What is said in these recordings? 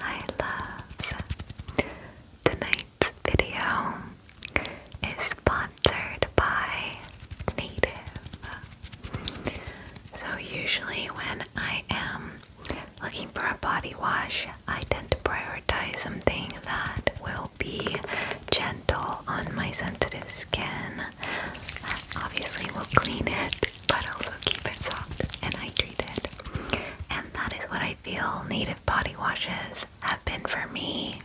Hi loves! Tonight's video is sponsored by Native. So usually when I am looking for a body wash, I tend to prioritize something that will be gentle on my sensitive skin. That obviously will clean it but also keep it soft and it. And that is what I feel native body washes have been for me.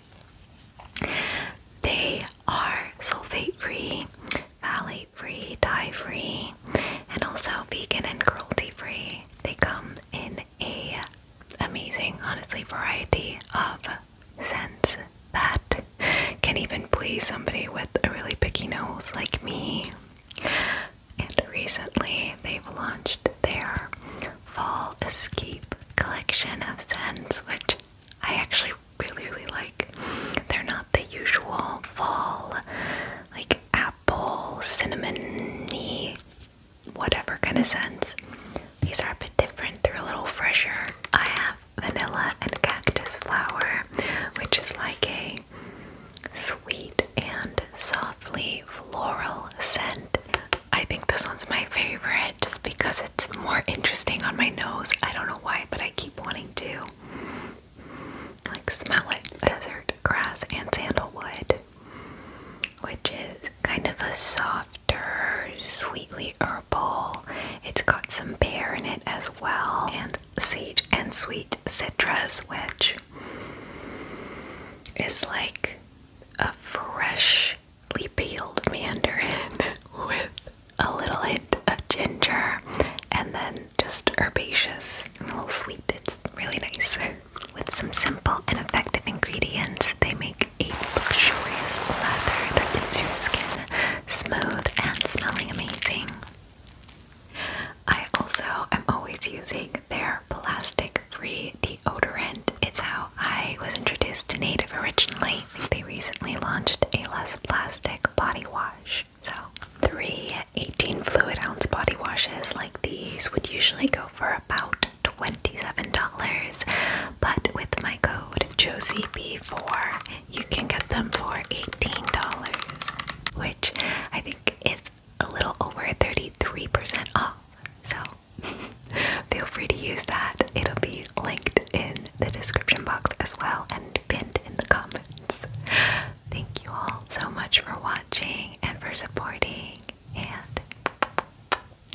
They are sulfate free, phthalate free, dye free, and also vegan and cruelty free. They come in a amazing, honestly, variety of scents that can even please somebody with a really picky nose like me. And recently, they've launched their Fall Escape collection of scents, which I actually really, really like. They're not the usual fall, like apple, cinnamony, whatever kind of scents. These are a bit different, they're a little fresher. I have vanilla and cactus flower, which is like a sweet and softly floral scent. I think this one's my favorite just because it's more interesting on my nose. I don't know why, but I keep wanting to like smell it. Desert grass and sandalwood, which is kind of a softer, sweetly herbal. It's got some pear in it as well, and sage and sweet citrus, which it's like a freshly peeled mandarin with a little hint of ginger and then just herbaceous and a little sweet. It's really nice. With some simple and effective ingredients, they make a luxurious leather that leaves your skin smooth and smelling amazing. I also am always using their plastic free deodorant. It's how I was introduced to Native originally. They recently launched a less plastic body wash. So, three 18 fluid ounce body washes like these would usually go for about $27, but with my code JosieB4, you can get them for $18, which I think is a little over 33% off. So feel free to use that. It'll be linked in the description box as well and pinned in the comments. Thank you all so much for watching and for supporting. And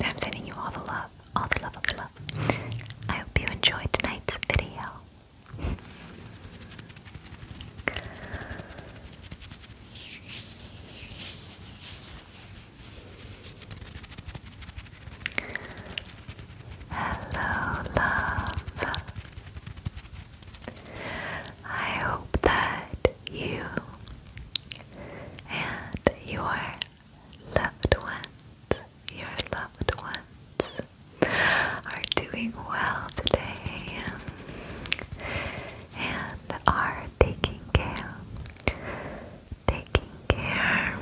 I'm sending you all the love, all the love all the love. I hope you enjoyed tonight's video. Hello, love. I hope that you and your loved ones, your loved ones, are doing well today and are taking care, taking care,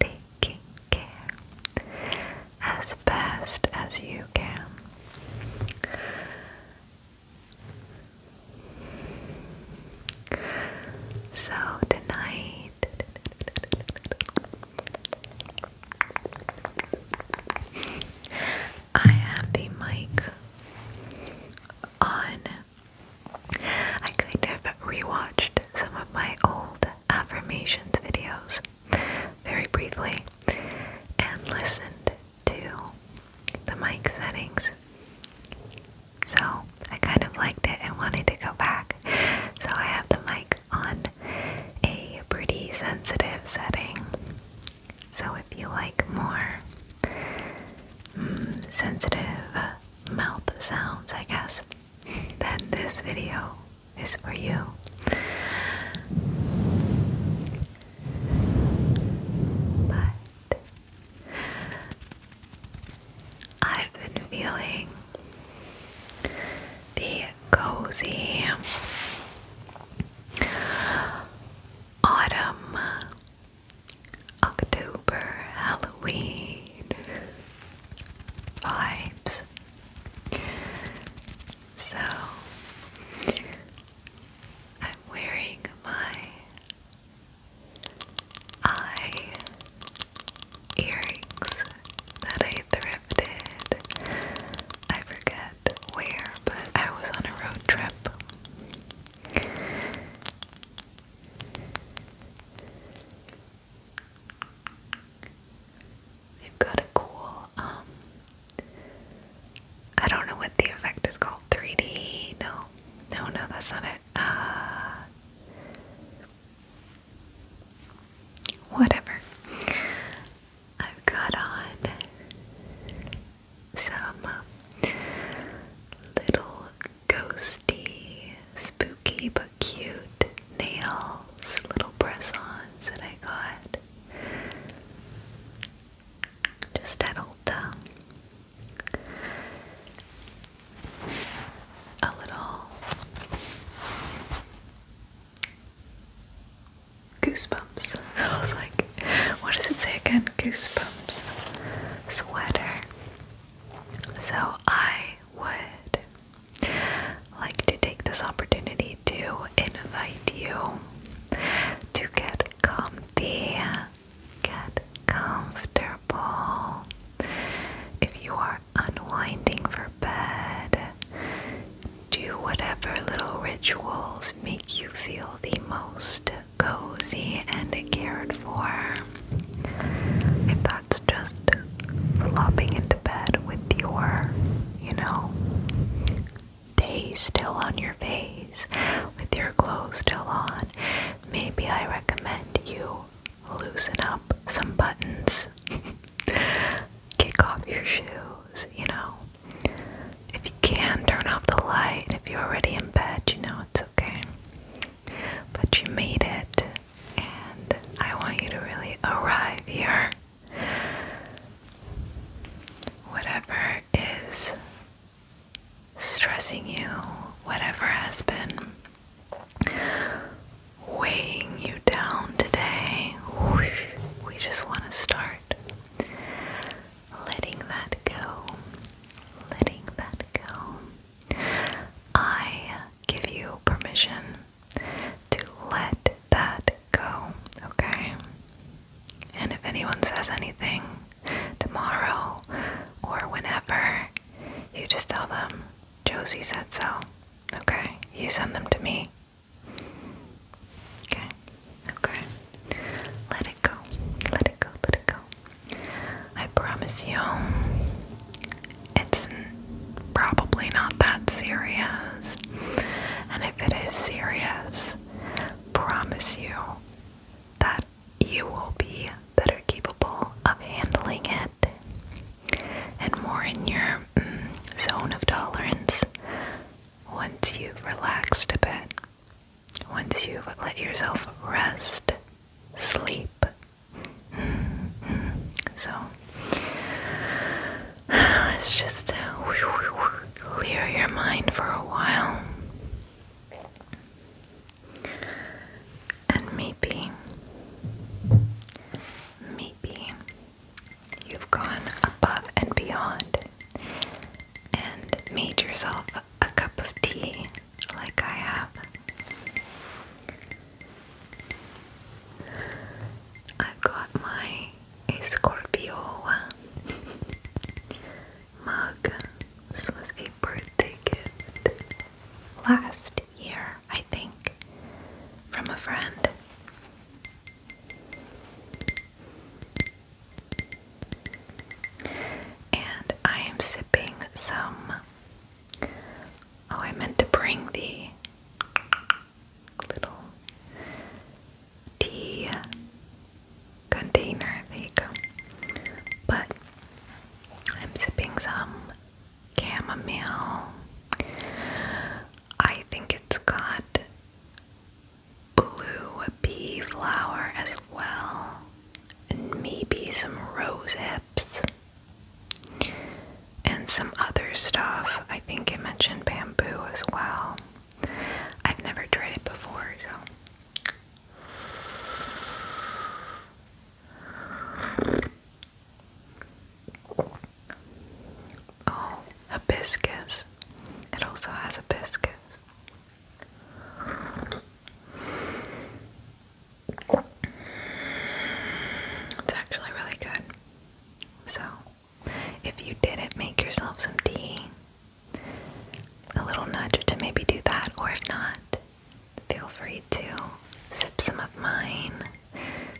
taking care as best as you can. So tonight. I have the mic on. I kind of rewatched some of my old affirmations videos very briefly and listened to the mic settings. So I kind of liked it and wanted to go back. So I have the mic on a pretty sensitive setting so if you like more mm, sensitive mouth sounds, I guess, then this video is for you. But I've been feeling the cozy autumn, October, Halloween vibes. So I'm wearing my eye earrings that I thrifted. I forget where, but I was on a road trip. They've got a cool, um, I don't know what the effect is called, 3D, no, no, no, that's not it, uh, whatever. I've got on some um, little ghosty, spooky but cute nails, little press-ons that I got just at Ulta. Um, a little goosebumps. I was like, what does it say again? Goosebumps sweater. So I would like to take this opportunity to invite you to get comfy, get comfortable. If you are unwinding for bed, do whatever little rituals make you feel the most cozy and cared for. If that's just flopping into bed with your, you know, day still on your face, with your clothes still on, maybe I recommend you loosen up some buttons, kick off your shoes, you know. If you can, turn off the light. If you're already in bed, you know it's okay. But you made it, and I want you to really arrive here. Whatever is stressing you, whatever has been weighing you down today, we just want to start letting that go, letting that go. I give you permission to let that go, okay? And if anyone says anything tomorrow or whenever, you just tell them, Josie said so, okay? You send them to me. Okay. Okay. Let it go. Let it go. Let it go. I promise you, it's probably not that serious. And if it is serious, promise you that you will be better capable of handling it and more in your mm, zone of tolerance once you've relaxed a bit once you've let yourself rest, sleep. Mm-hmm. So let's just uh, clear your mind for a while. And maybe, maybe you've gone above and beyond and made yourself a cup of tea like I have. i got my Scorpio mug. This was a birthday gift last year, I think, from a friend. And I am sipping some. Oh, I meant to bring the little tea container. There you go. But I'm sipping some chamomile. I think it's got blue pea flower as well, and maybe some rose hips and some other stuff. I think I mentioned bamboo as well. I've never tried it before, so. Oh, hibiscus. It also has hibiscus. It's actually really good. So, if you didn't make yourself some tea, a little nudge to maybe do that, or if not, feel free to sip some of mine.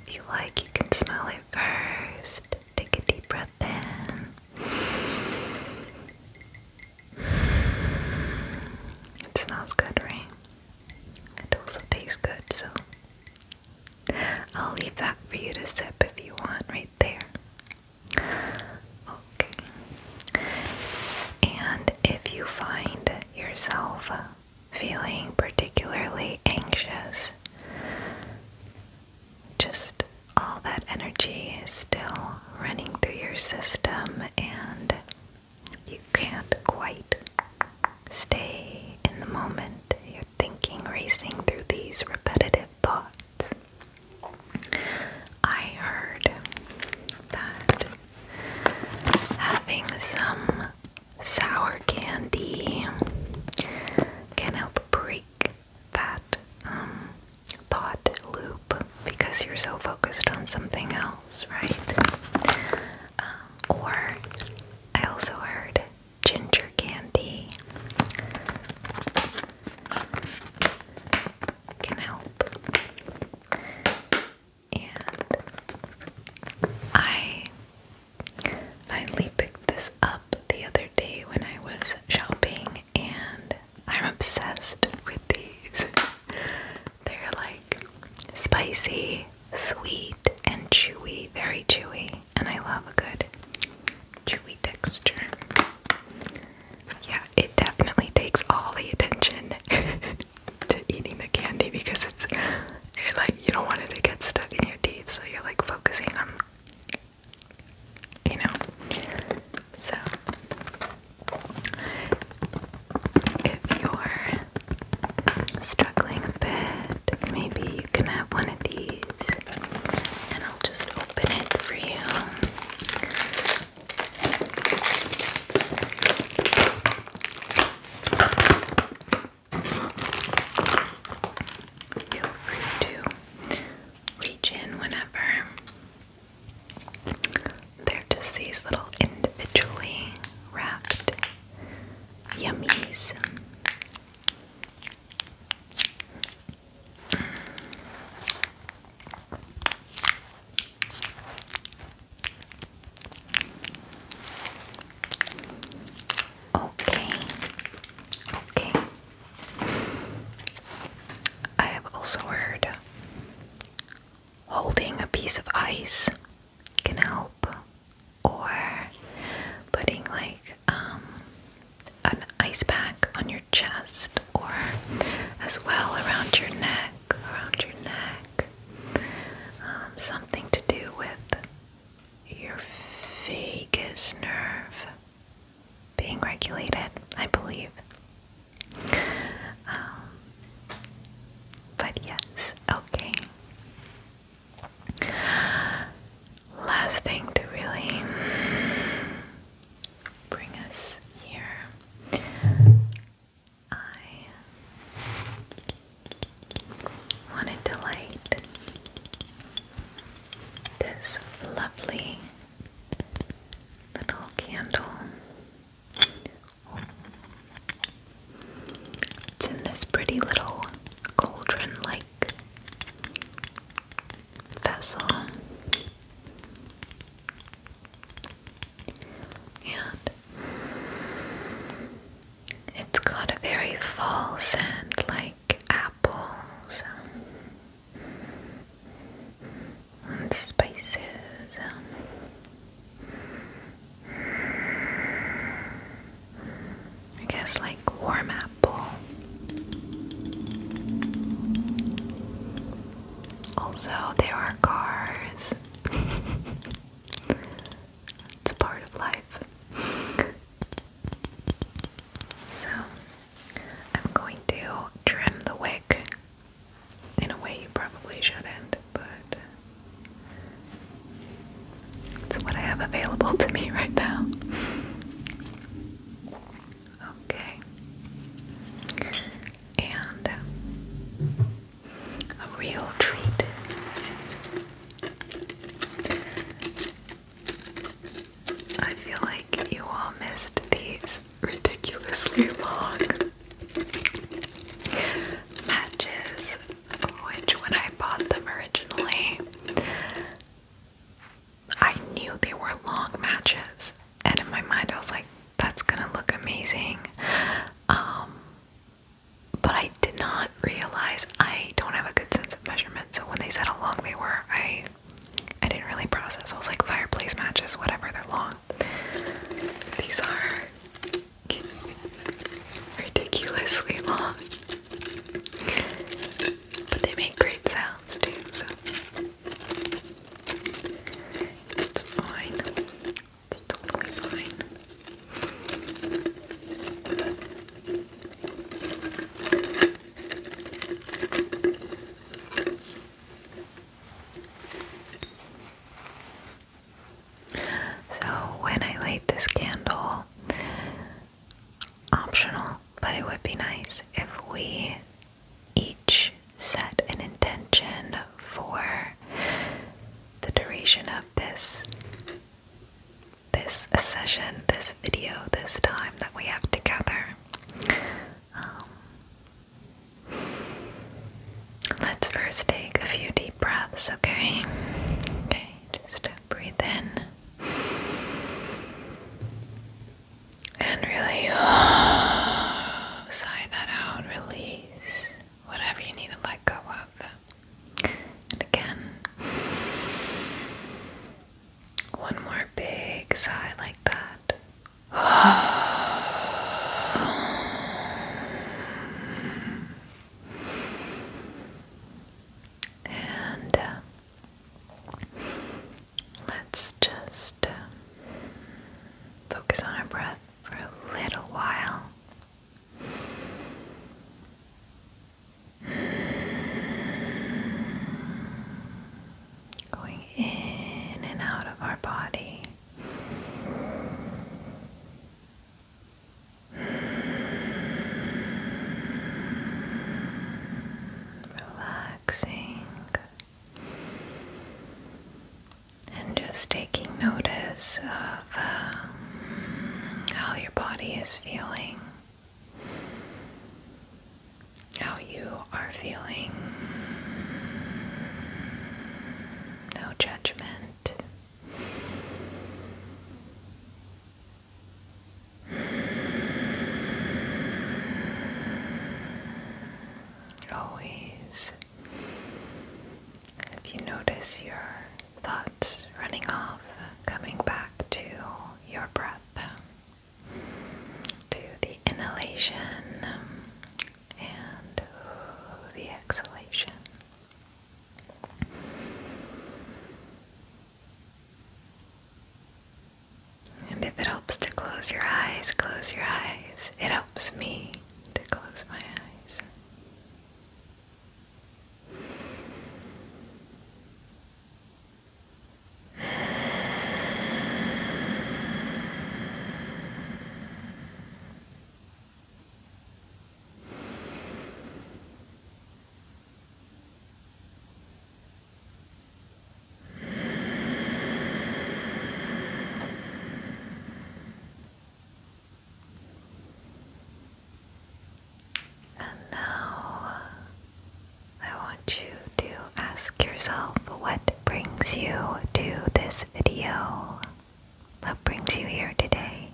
If you like, you can smell it first. Take a deep breath in. It smells good, right? It also tastes good, so I'll leave that for you to sip if you want, right there. Okay. And if you find yourself feeling particularly anxious, just all that energy is still running through your system, and you can't quite stay in the moment. You're thinking, racing through these repetitive thoughts. I heard that having some sour candy can help break that um, thought loop because you're so focused on something else, right? Um, or I also heard ginger candy can help. And I finally picked this up the other day when I was shopping and I'm obsessed with these. They're like spicy, sweet, and chewy, very chewy, and I love a good chewy texture. Yeah, it definitely takes all the attention to eating the candy because it's you like you don't want it to get stuck in your teeth, so you're like focusing on you know. So, if you're struggling a bit, maybe you can have one of these, and I'll just open it for you. Feel free to reach in whenever. They're just these little individually wrapped yummies. Okay. Okay. I have also heard holding a piece of ice can help, or putting like um, an ice pack on your chest, or as well around your neck, around your neck. Um, something to do with your vagus nerve being regulated, I believe. Um, but yes, okay. Last thing to really bring us here. I wanted to light this lovely little candle. It's in this pretty little cauldron like vessel. And it's got a very fall scent like apples and spices. Um, I guess like warm apple. Also, there are cars. it's part of life. so, I'm going to trim the wick in a way you probably shouldn't, but it's what I have available to me right now. okay. And um, a real treat. I feel like you all missed these ridiculously long matches, which when I bought them originally, I knew they were long matches, and in my mind, I was like, that's gonna look amazing. Um, but I did not realize I don't have a good sense of measurement, so when they said how long they were, I I didn't really process. I was like, fireplace matches, whatever, they're long. These are ridiculously long. But they make great sounds too, so it's fine. It's totally fine. So when I light this candle, optional, but it would be nice if we each set an intention for the duration of this this session, this video, this time that we have together. Um, Let's first take a few deep breaths, okay? Okay, just breathe in. And really sigh that out, release whatever you need to let go of. And again, one more big sigh like that and uh, let's just uh, focus on our breath for a little while going in and out of our body. Relaxing and just taking notice of um, how your body is feeling how you are feeling. No judgment. Always, if you notice your thoughts running off, coming back to your breath, to the inhalation, and the exhalation. And if it helps to close your eyes, close your eyes. It helps me to close my eyes. And now I want you to ask yourself what brings you to this video? What brings you here today?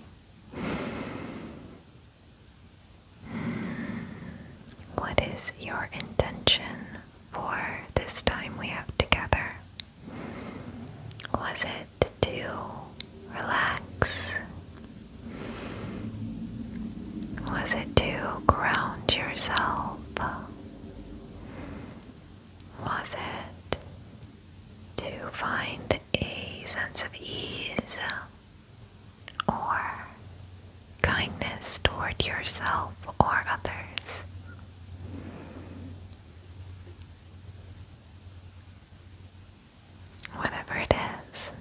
What is your intention for this time we have together? Was it to relax? Was it to ground yourself? Was it to find a sense of ease or kindness toward yourself or others? Whatever it is,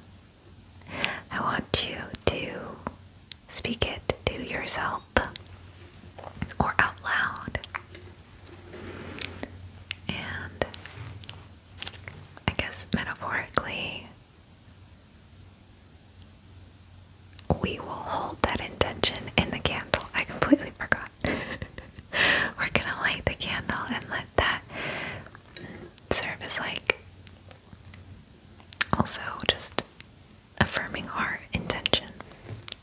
I want you to Speak it to yourself or out loud. And I guess metaphorically, we will hold that intention in the candle. I completely forgot. We're gonna light the candle and let that serve as like also just affirming our intention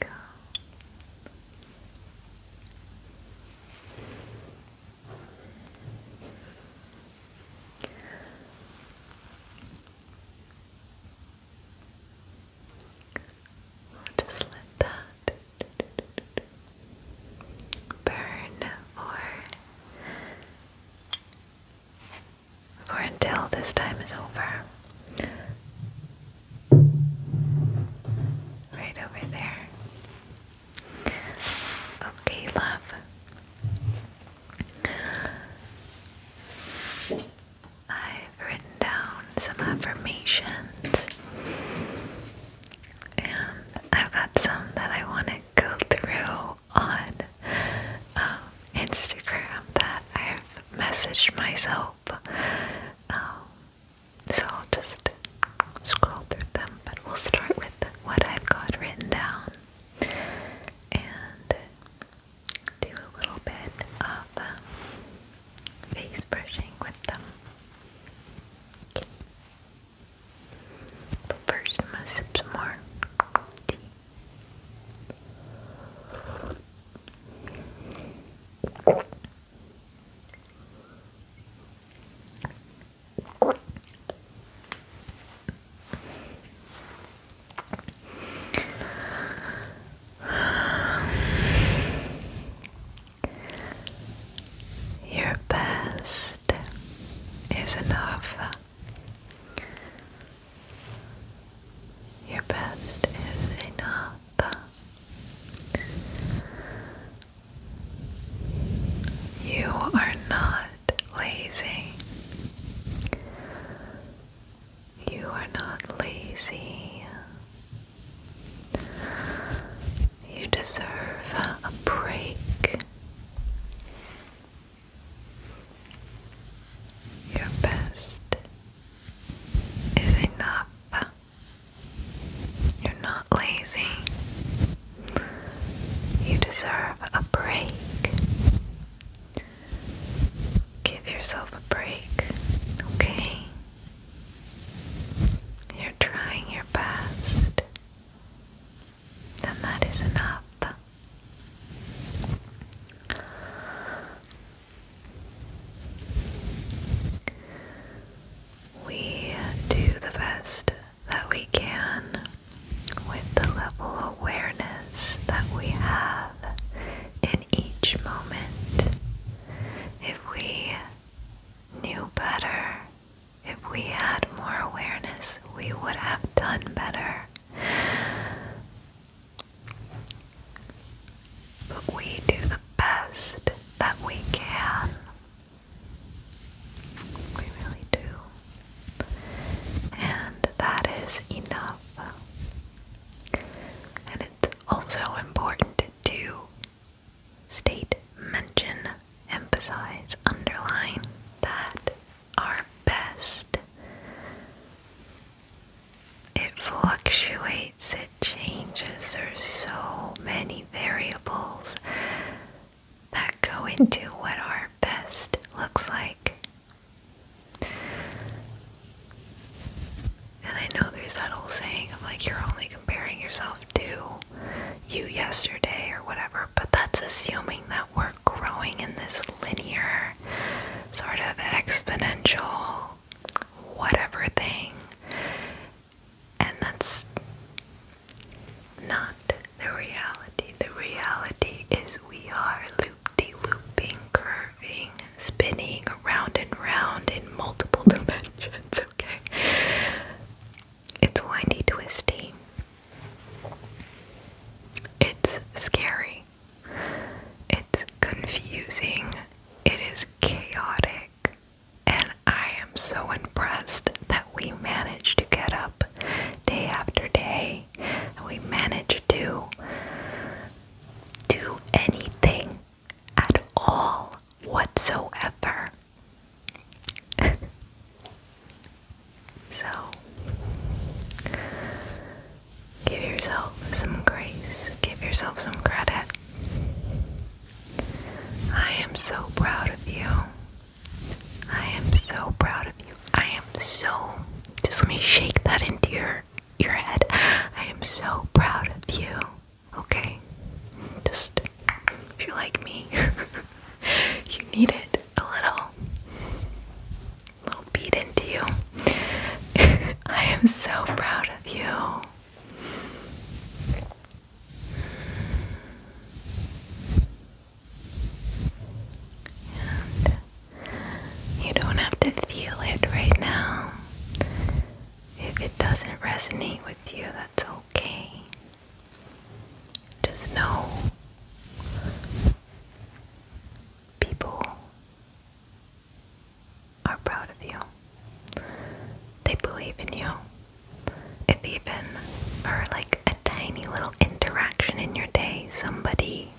Go. We'll just let that burn for or until this time is over. Right over there. Okay, love. I've written down some affirmations, and I've got some that I want to go through on um, Instagram that I've messaged myself. Um, so I'll just scroll through them, but we'll start with what I've got written down and do a little bit of um, face brushing with them. But first, I'm sip some more tea. Your best is enough. Your best is enough. You are not lazy. You are not lazy. You deserve a break. Your best is enough. You're not lazy. You deserve a break. Give yourself a break, okay? You're trying your best, and that is enough. We do the best that we can with the level of awareness that we have in each moment. If we knew better, if we had more awareness, we would have done better. But we do the best that we can. We really do. And that is enough. And it's also important to state, mention, emphasize, underline that our best. It fluctuates, it changes. There's so many variables that go into what our best looks like. And I know there's that whole saying of like you're only comparing yourself to you yesterday or whatever, but that's assuming that we're growing in this linear, sort of exponential, whatever thing. And that's not the reality. The reality is we are loop de looping, curving, spinning around and round in multiple dimensions, okay? It's windy, twisty. It's scary. It's confusing, it is chaotic, and I am so impressed that we manage to get up day after day and we manage to do anything at all whatsoever. So, give yourself some grace, give yourself some credit. I am so proud of you. I am so proud of you. I am so. Just let me shake that into your your head. I am so proud of you. Okay? Just if you're like me, you need it a little little beat into you. I am so proud of you. you don't have to feel it right now. If it doesn't resonate with you, that's okay. Just know people are proud of you. They believe in you. If even for like a tiny little interaction in your day, somebody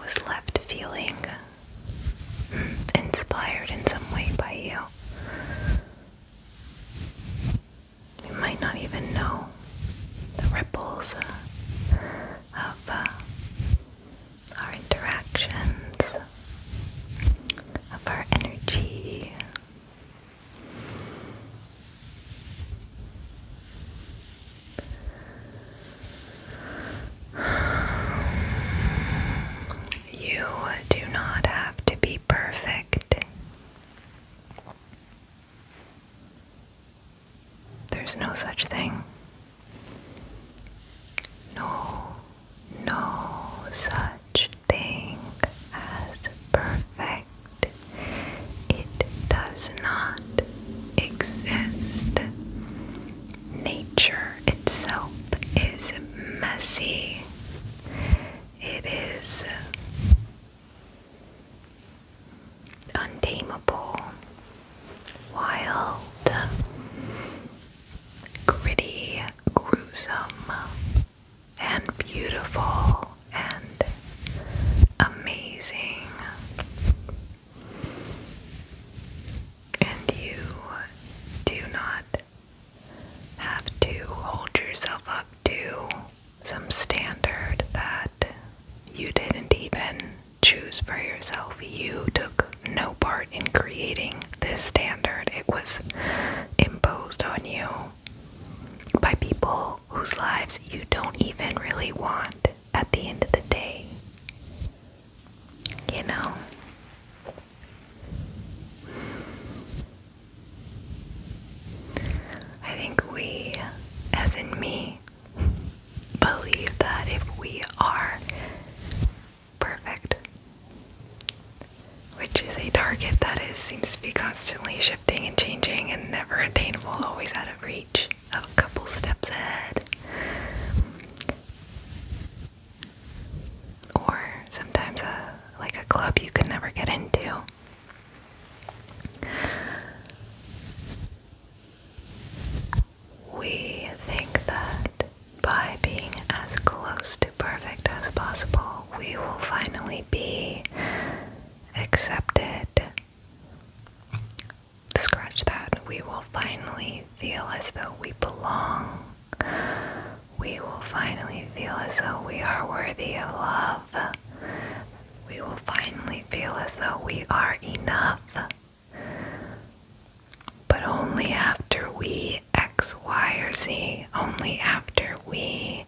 was left feeling inspired in some way by you. You might not even know the ripples uh, of uh, our interactions, of our energy. You do not have to be perfect. There's no such thing. No, no such thing as perfect. It does not exist. Nature itself is messy. It is untamable, wild, gritty, gruesome, and beautiful and amazing. And you do not have to hold yourself up to some standard that you didn't even choose for yourself. You took no part in creating this standard, it was imposed on you by people whose lives you don't even really want at the end of the day. You know? I think we, as in me, believe that if we are perfect, which is a target that is seems to be constantly shifting and changing and never attainable, always out of reach, a couple steps ahead. Or sometimes a like a club you could never get into. We think that by being as close to perfect as possible, we will finally be accepted. Scratch that. We will finally feel as though we belong. We will finally feel as though we are worthy of love. We will finally feel as though we are enough. But only after we X, Y, or Z, only after we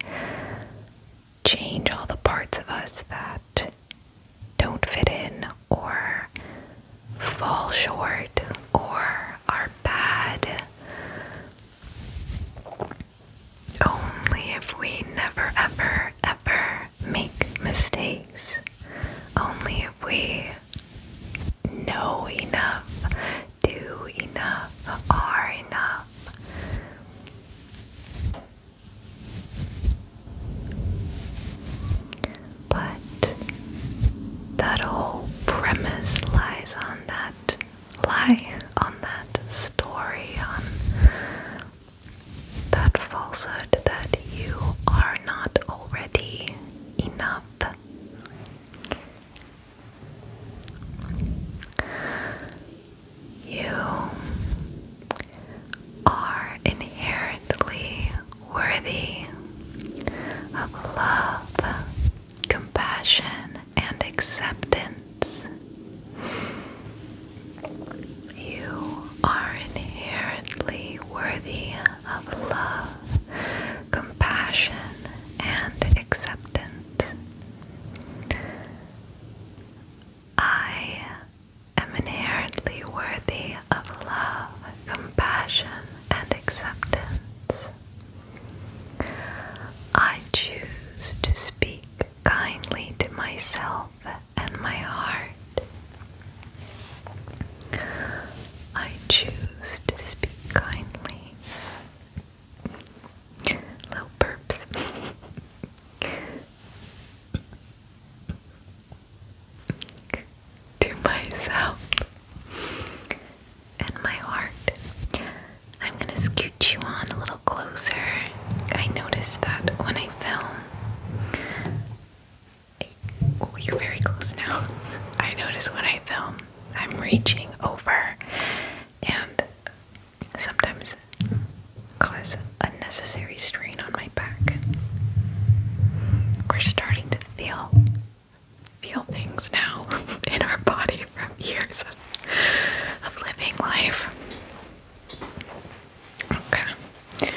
change all the parts of us that don't fit in or fall short or are bad. Only if we never, ever, ever make mistakes. Only if we know enough, do enough, are enough. But that whole premise lies on that lie, on that story, on that falsehood that you are not already enough. You are inherently worthy of love, compassion, and acceptance. You are inherently worthy of love, compassion, and acceptance. I am inherently worthy of love, compassion, and acceptance. I choose to speak kindly to myself and my heart. I choose to speak kindly. Little burps. to myself and my heart. I'm going to scoot you on a little closer. I notice that when I film, you're very close now. I notice when I film, I'm reaching over and sometimes cause unnecessary strain on my back. We're starting to feel feel things now in our body from years of, of living life. Okay.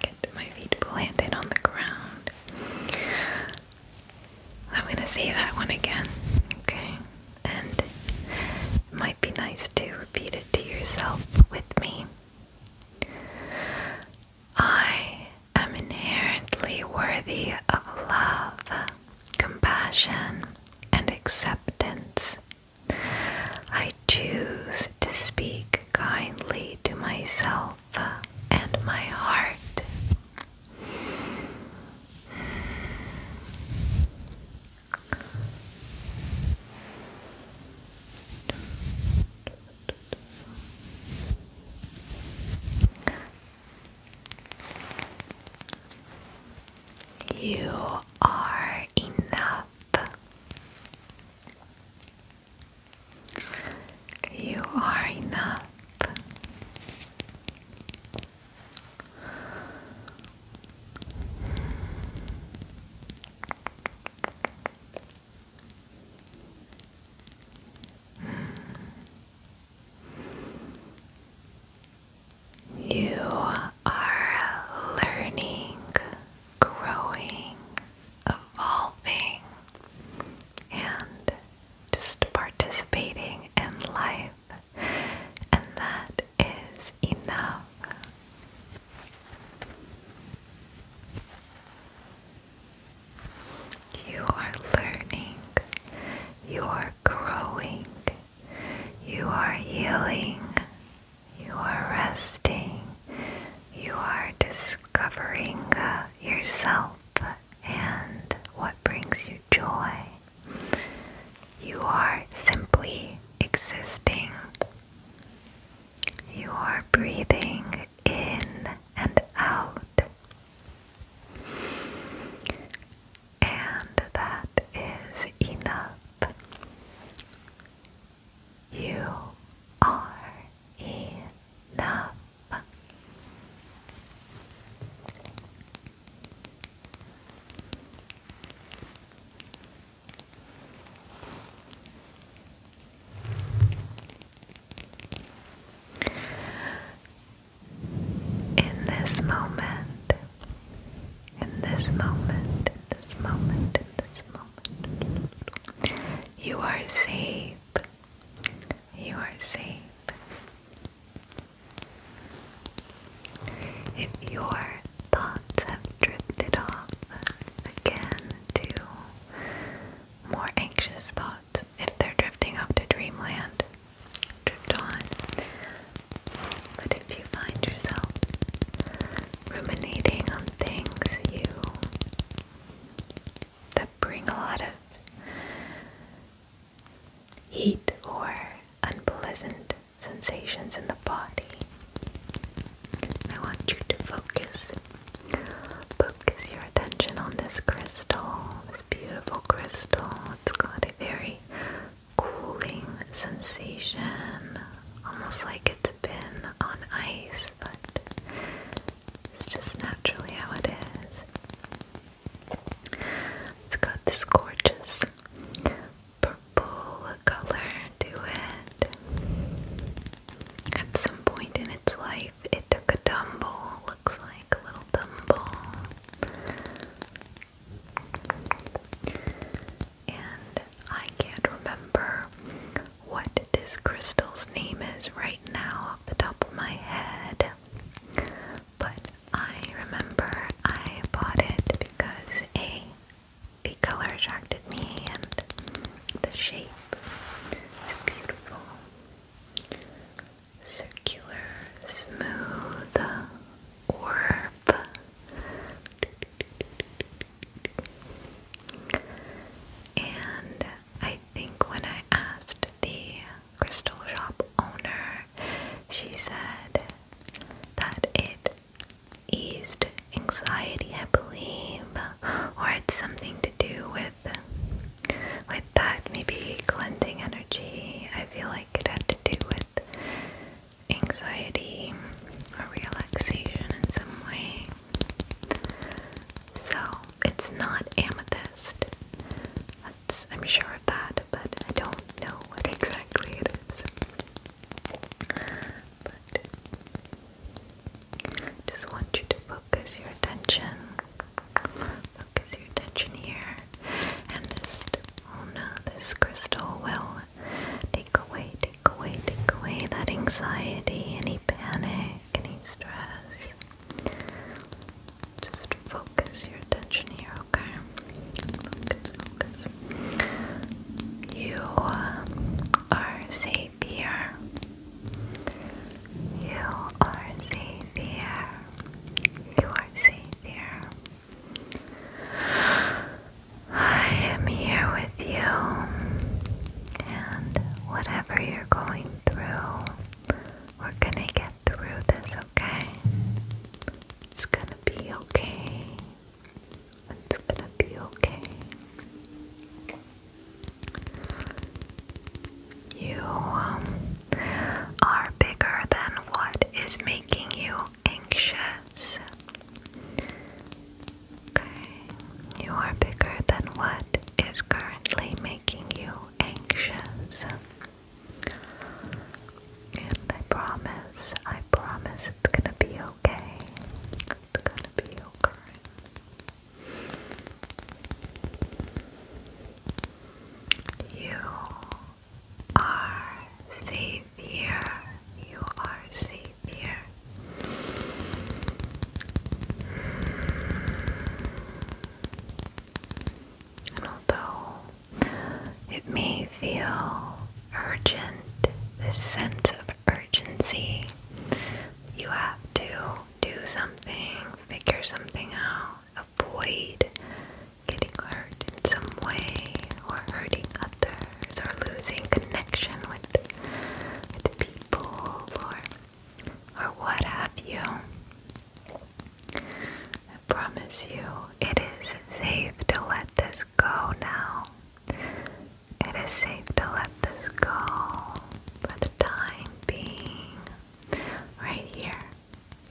Get my feet planted on the ground. I'm gonna say that one again, okay? And it might be nice to repeat it to yourself with me. I am inherently worthy of love, compassion, and acceptance. I choose to speak kindly to myself and my heart. You are enough. You are enough. You are learning, growing, evolving, and just participating in life, and that is enough. You are learning, you are growing, you are healing, you are resting. You are discovering uh, yourself and what brings you joy. You are simply existing. You are breathing in and out. And that is enough. You are enough. In this moment, in this moment, in this moment, in this moment. You are safe. You are safe. If your thoughts have drifted off again to more anxious thoughts, if they're drifting off to dreamland, drift on. But if you find yourself ruminating on things that bring a lot of heat or unpleasant sensations in the body. I want you to focus. Focus your attention on this crystal, this beautiful crystal. It's got a very cooling sensation, almost like it's been on ice, but it's just naturally how it is. It's got this gorgeous purple color to it. At some point in its life, it took a tumble, looks like a little tumble and I can't remember what this crystal's name is right now off the top of my head, but I remember I bought it because A, the color attracted me and the shape is beautiful. Circular, smooth orb. And I think when I asked the crystal shop owner, she said that it eased anxiety, I believe, or it's something to do with with that maybe cleansing energy. I feel like it had to do with anxiety or relaxation in some way. So it's not amethyst. I'm sure of that, but I don't know what exactly it is. just want you to focus your attention. Focus your attention here. And this, oh no, this crystal will take away, take away, take away that anxiety, any panic, any stress. Just focus your attention here, okay? Focus, focus. You uh, are safe here. You are safe here. You are safe here. I am here with you, and whatever you're going through, we're gonna get through this, okay? It's gonna be okay. It's gonna be okay. You um, are bigger than what is making you anxious. Okay, you are bigger than what is currently making you anxious. And I promise, I promise it's gonna be okay. It's gonna be okay. You are safe here. You are safe it although it may feel urgent, this sense of urgency, you have to do something, figure something out, avoid getting hurt in some way or hurting others or losing connection with, with people or, or what have you. I promise you, it is safe to let this go now. It is safe to let this go for the time being. Right here.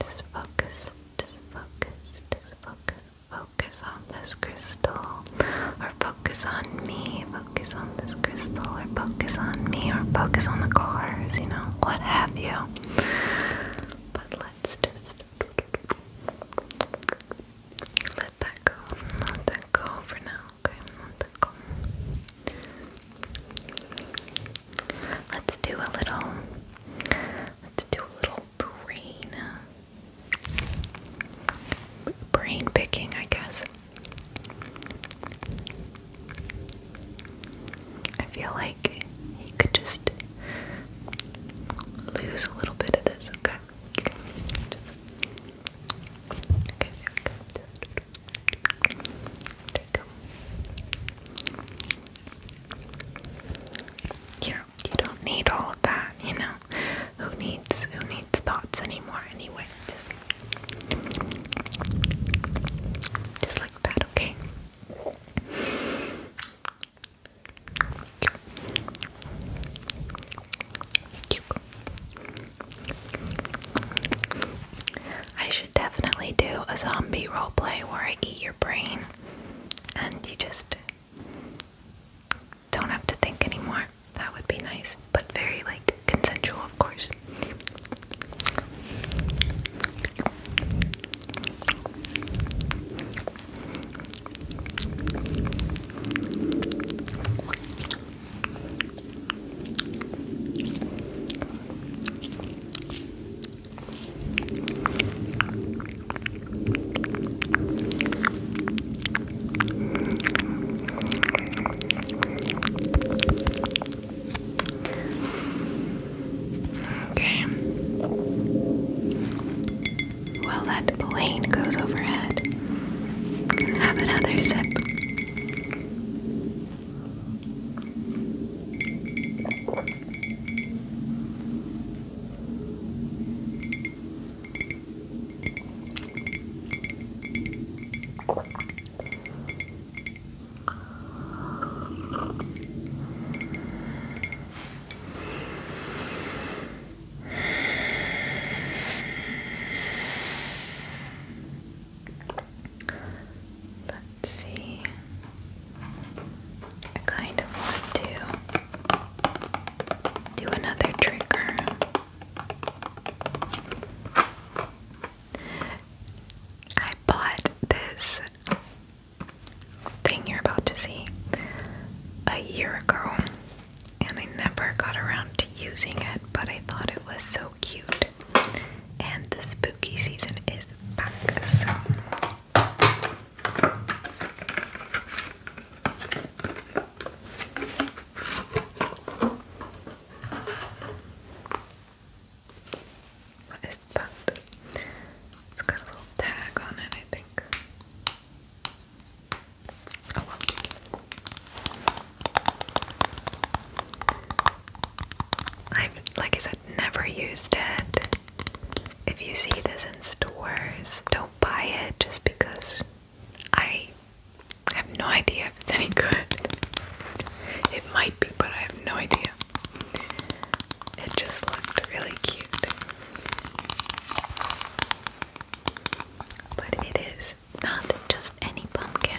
Just focus, just focus, just focus, focus on this crystal or focus on me, focus on this crystal, or focus on me, or focus on the cars, you know, what have you. But let's just let that go. Let that go for now, okay? Let that go. Let's do a little let's do a little brain uh, brain picking, I guess. I feel like you could just lose a little bit of this, okay? Okay, you do not need all of that, you know? who needs who needs thoughts anymore anyway? Just just like that, okay? I should definitely do a zombie role play where I eat your brain and you just don't have to think anymore. That would be nice, but very like consensual, of course. Okay. While that plane goes overhead, have another sip. Let's see. I kind of want to do another trigger. I bought this thing you're about to see a year ago, and I never got around to using it, but I thought it was so cute. And the spooky season is back, what is that? It's got a little tag on it, I think. Oh, I've, like I said, never used it. If you see this in stores, don't buy it just because I have no idea if it's any good. It might be, but I have no idea. It just looked really cute. But it is not just any pumpkin.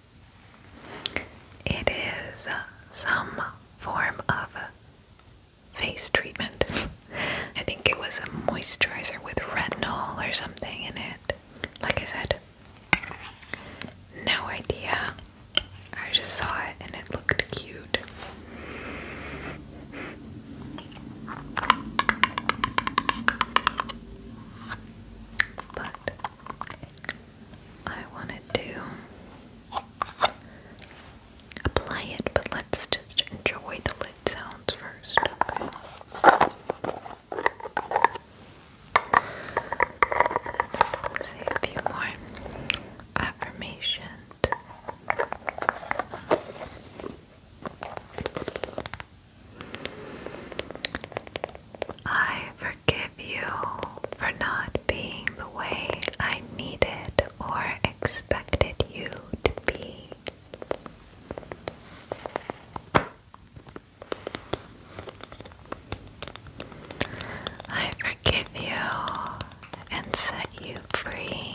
It is some form of face treatment. I think it was a moisturizer with retinol or something in it. Like I said, no idea. I just saw it and it looked cute. But I wanted to apply it, but let's just enjoy the lid sounds first, Say a few more affirmations. I forgive you for not being the way I needed or expected you to be. I forgive you and set you free.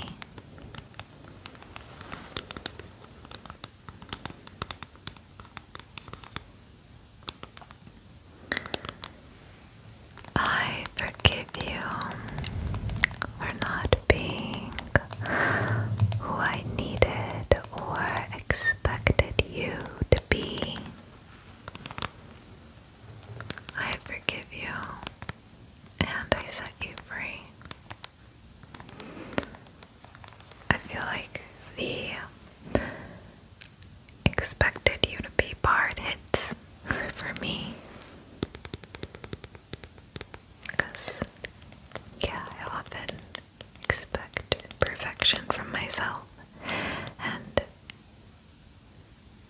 I forgive you for not being who I needed or expected you to be. I forgive you and I set you free. I feel like the expected you to be barred hits for me. Because, yeah, I often expect perfection from myself, and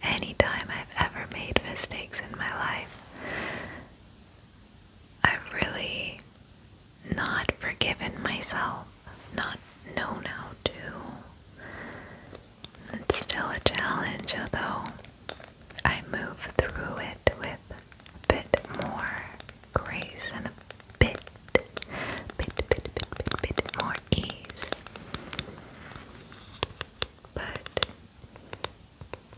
anytime I've ever made mistakes in my life, I've really not forgiven myself not known how to. It's still a challenge, although I move through it with a bit more grace and a bit, bit, bit, bit, bit more ease. But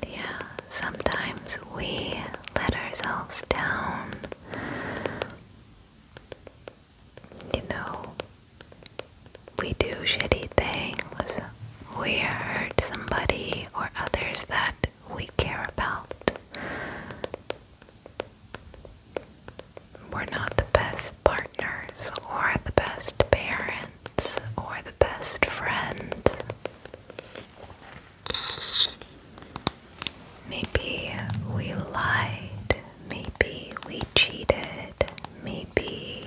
yeah, sometimes we let ourselves down you know, we do shitty things. We hurt somebody or others that we care about. We're not the best partners, or the best parents, or the best friends. Maybe we lied. Maybe we cheated. Maybe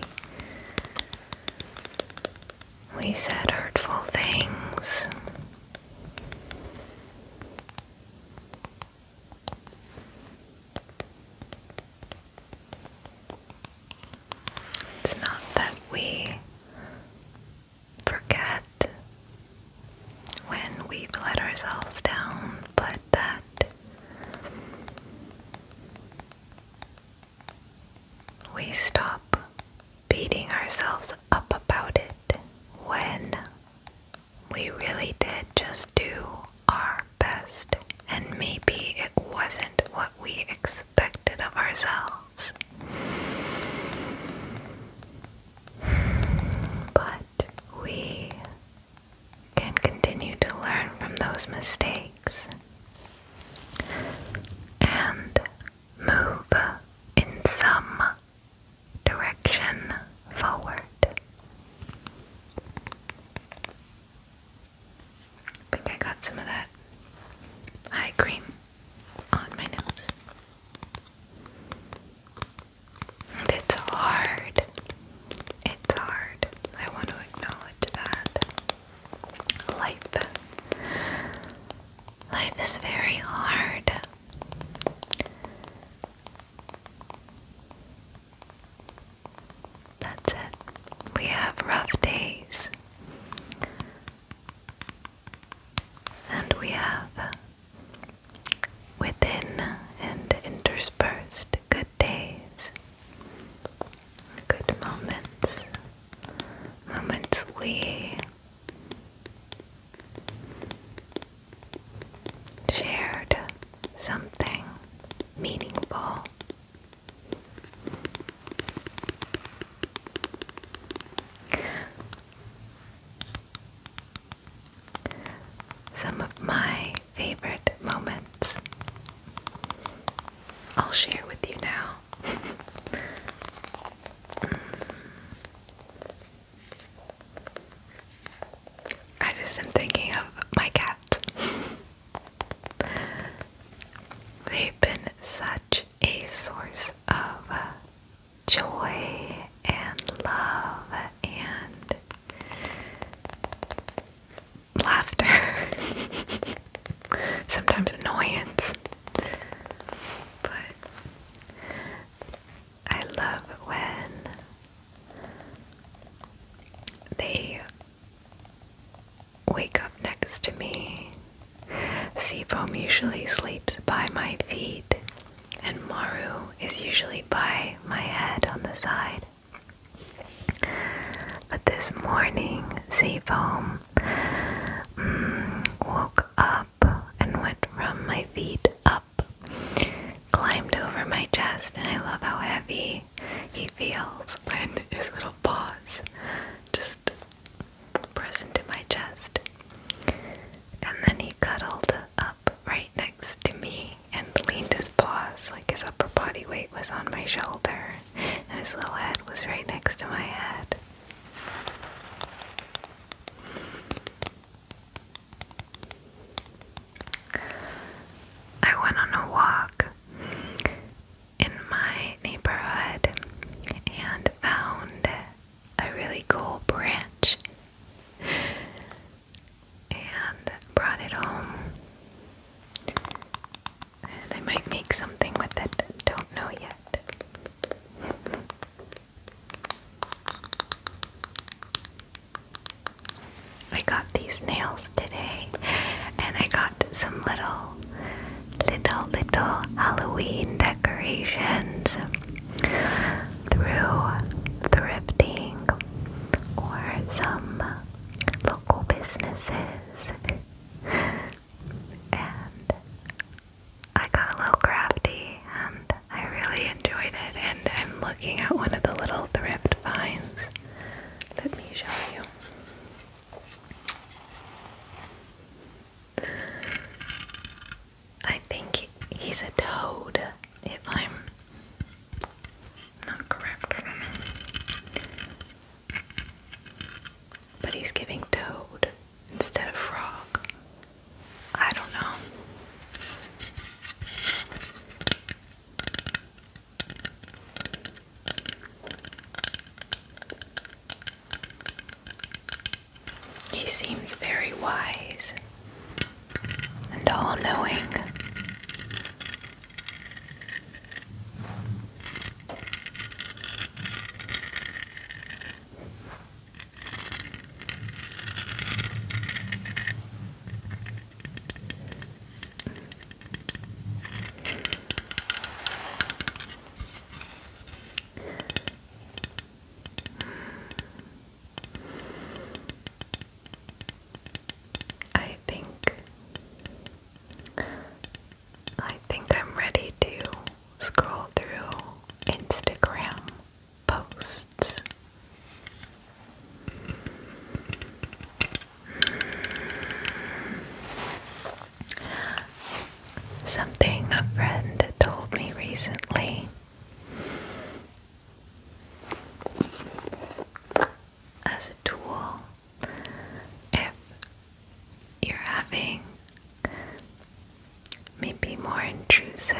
we said hurtful things. It's not that we forget when we've let ourselves down, but that we stop beating ourselves up about it when we really did just do our best, and maybe it wasn't what we expected of ourselves. But we can continue to learn from those mistakes and move in some direction forward. think I got some of that eye cream on my nose. It's hard. It's hard. I want to acknowledge that. Life. Life is very hard. That's it. We have rough days. And we have within and interspersed good days, good moments, moments we shared something meaningful some of my favorite moments. I'll share with you now. I just am thinking of my cats. They've been such a source of uh, joy and love and laughter, sometimes annoyance. But I love when they wake up next to me. Seafoam usually sleeps by my feet, and Maru is usually by my head on the side. But this morning, Seafoam mm, woke up and went from my feet up, climbed over my chest, and I love how heavy he feels when his little paws just press into my chest. And then he cuddled up uh, right next to me and leaned his paws like his upper body weight was on my shoulder and his little head was right next to my head. I went on a walk in my neighborhood and found a really cool branch and brought it home. And I might make something with it, don't know yet. I got these nails today, and I got some little, little, little Halloween decorations through thrifting or some local businesses. and I got a little crafty and I really enjoyed it. And I'm looking at one of the little thrift finds. Let me show you. I think he's a toad, if I'm not correct, But he's giving toad instead of frog. I don't know. He seems very wise and all knowing. I think I think I'm ready to scroll through Instagram posts. Something a friend told me recently as a tool if you're having maybe more intrusive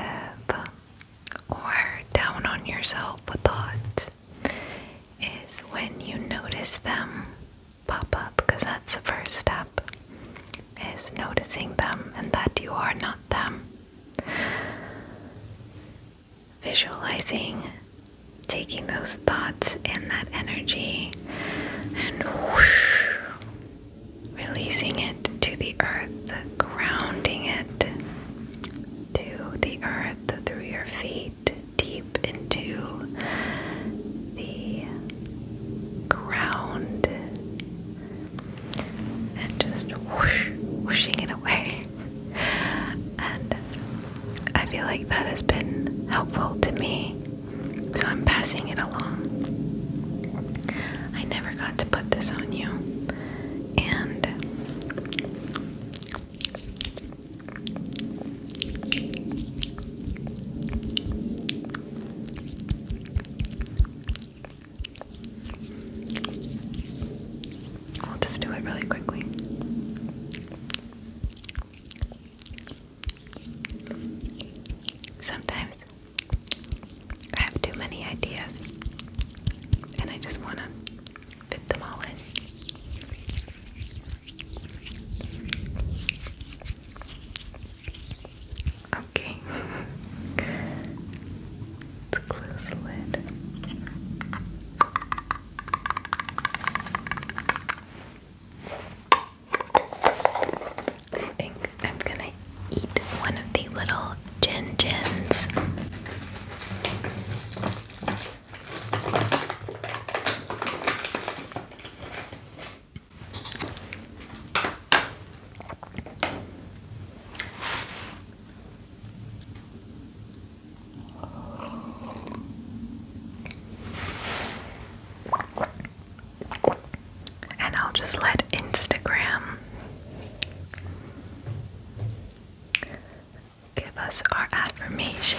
or down on yourself a thought is when you notice them pop up because that's the first step is noticing them and that you are not them visualizing taking those thoughts and that energy and whoosh, releasing it to the earth, grounding it to the earth through your feet, deep into the ground, and just whoosh, whooshing it away and I feel like that has been helpful to me, so I'm passing it along. I never got to put this on you, and I'll just do it really quickly. Sometimes I have too many ideas and I just want to fit them all in. Okay. Let's close the lid. I think I'm gonna eat one of the little gin gins. And I'll just let Instagram give us our affirmations.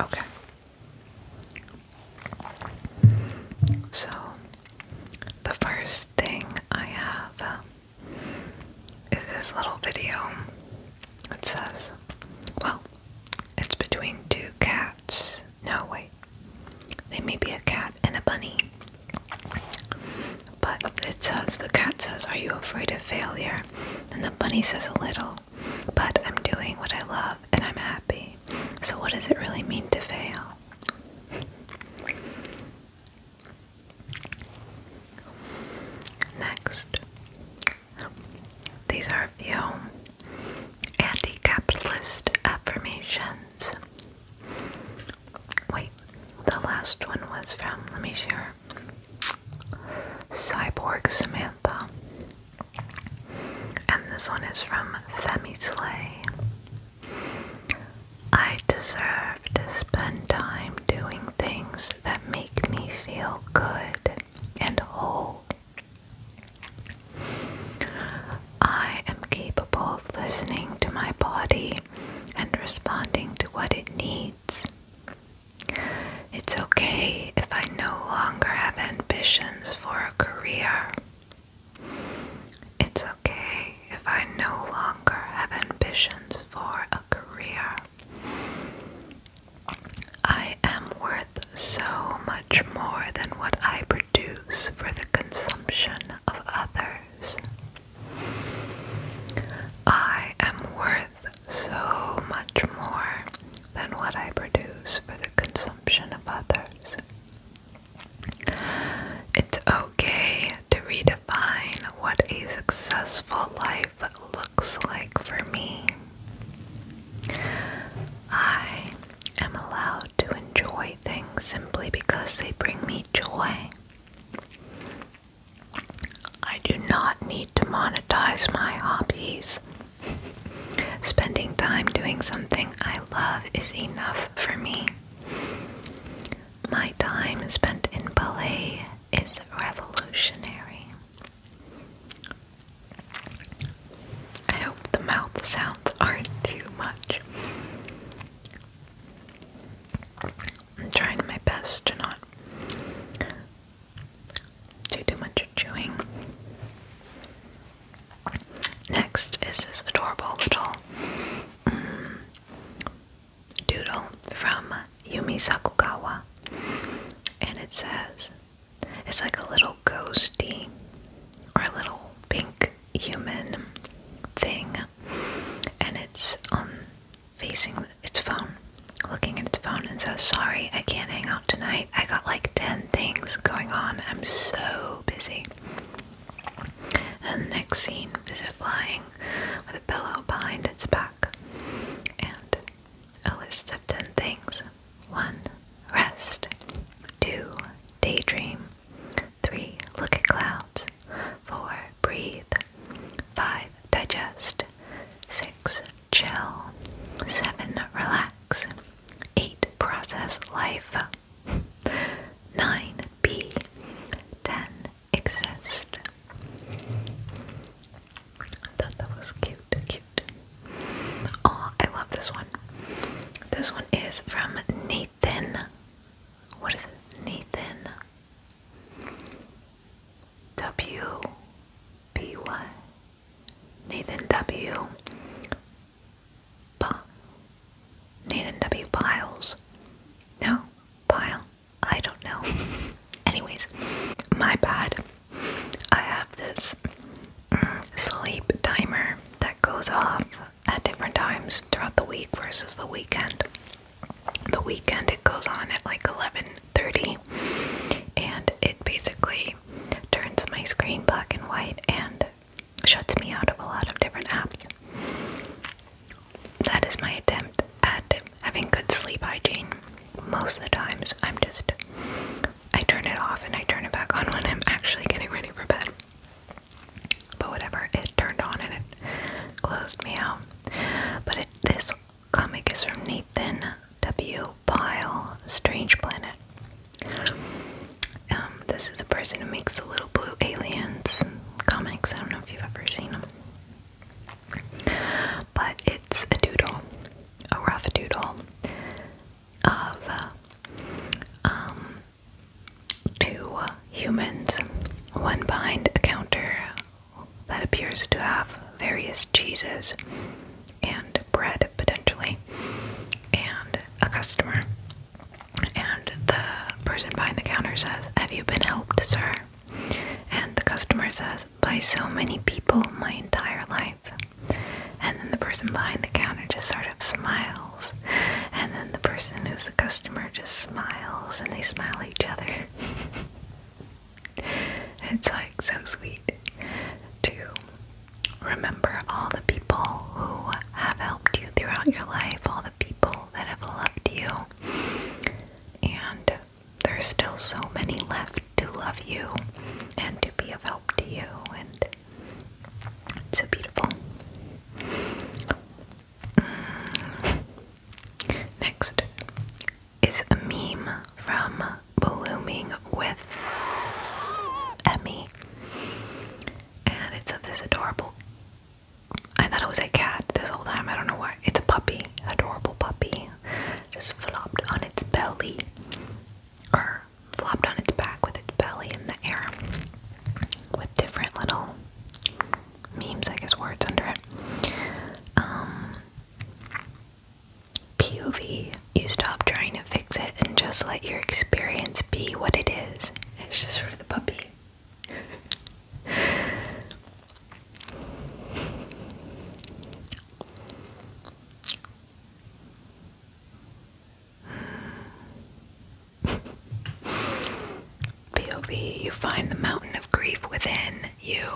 Okay. So, the first thing I have uh, is this little video. It says, well, it's between two cats. No, wait. They may be a cat and a bunny. But it says, the cat says, Are you afraid of failure? And the bunny says, A little. But I'm doing what I love and I'm happy. So, what does it really mean to fail? Next, these are a few anti capitalist affirmations. Wait, the last one was from, let me share. Cyborg Samantha. And this one is from Femi Slay. I deserve to spend time doing things that make me feel good and whole. I am capable of listening to my body and responding to what it needs. It's okay if I no longer have ambitions for a career. It's okay if I no longer have ambitions for a career. I am worth so much more than what I produce for the consumption of others. I am worth so much more than what I produce for the consumption of others. It's okay to redefine what a successful life looks like for me. I am allowed to enjoy things simply because they bring me joy. I do not need to monetize my hobbies. Spending time doing something I love is enough for me. My time spent in ballet is revolutionary. I hope the mouth sounds aren't too much. I'm trying my best to not do too much chewing. Next is this adorable little mm, doodle from Yumi Sakugawa. And it says, it's like a little ghosty or a little pink human thing. And it's on facing its phone, looking at its phone, and says, Sorry, I can't hang out tonight. I got like 10 things going on. I'm so busy. the next scene is it lying with a pillow behind its back and a list of 10 things 1. Rest. 2. Daydream. 3. Look at clouds. 4. Breathe. 5. Digest. 6. Chill. 7. Relax. 8. Process life. 9. Be. 10. Exist. thought that was cute, cute. Oh, I love this one. This one is from Nathan. What is Nathan. W P Y Nathan W P Nathan W Piles. No, Pile. I don't know. Anyways, my bad. I have this mm, sleep timer that goes off at different times throughout the week versus the weekend the weekend it goes on at like 11:30 and it basically turns my screen black and white and shuts me out of a lot of different apps. That is my attempt at having good sleep hygiene. Most of the times I'm just I turn it off and I turn it back on when I'm actually getting ready for bed. But whatever, it turned on and it closed me out. But it, this Comic is from Nathan W. Pyle, Strange Planet. Um, this is the person who makes the Little Blue Aliens comics. I don't know if you've ever seen them. But it's a doodle, a rough doodle of uh, um, two humans, one behind a counter that appears to have various cheeses and bread potentially, and a customer. And the person behind the counter says, Have you been helped, sir? And the customer says, By so many people my entire life. And then the person behind the counter just sort of smiles. And then the person who's the customer just smiles and they smile at each other. It's like so sweet to remember all the people who have helped you throughout your life, all the people that have loved you, and there's still so many left to love you and to be of help to you, and it's so beautiful. Mm. Next, it's a meme from Blooming with Emmy. And it's of this adorable. I thought it was a cat this whole time. I don't know why. It's a puppy. Adorable puppy. Just flopped on its belly. Or flopped on its back with its belly in the air. With different little memes, I guess, words under it. Um, POV. You stop trying to fix it and just let your experience be what it is. It's just for the puppy. POV, you find the mountain of grief within you,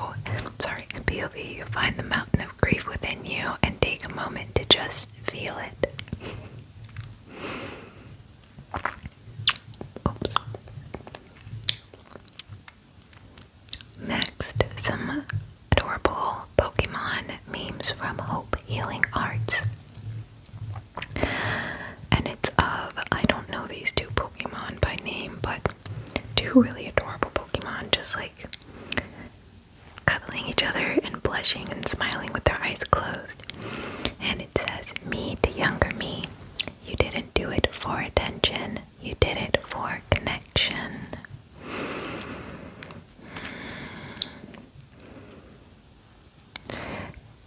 sorry, POV, you find the mountain of grief within you and take a moment to just feel it. Oops. Next, some adorable Pokemon memes from Hope Healing Arts. And it's of, I don't know these two Pokemon by name, but two really adorable Pokemon just like cuddling each other and blushing and smiling with their eyes closed. And it says, Me to younger me. You didn't do it for attention, you did it for connection.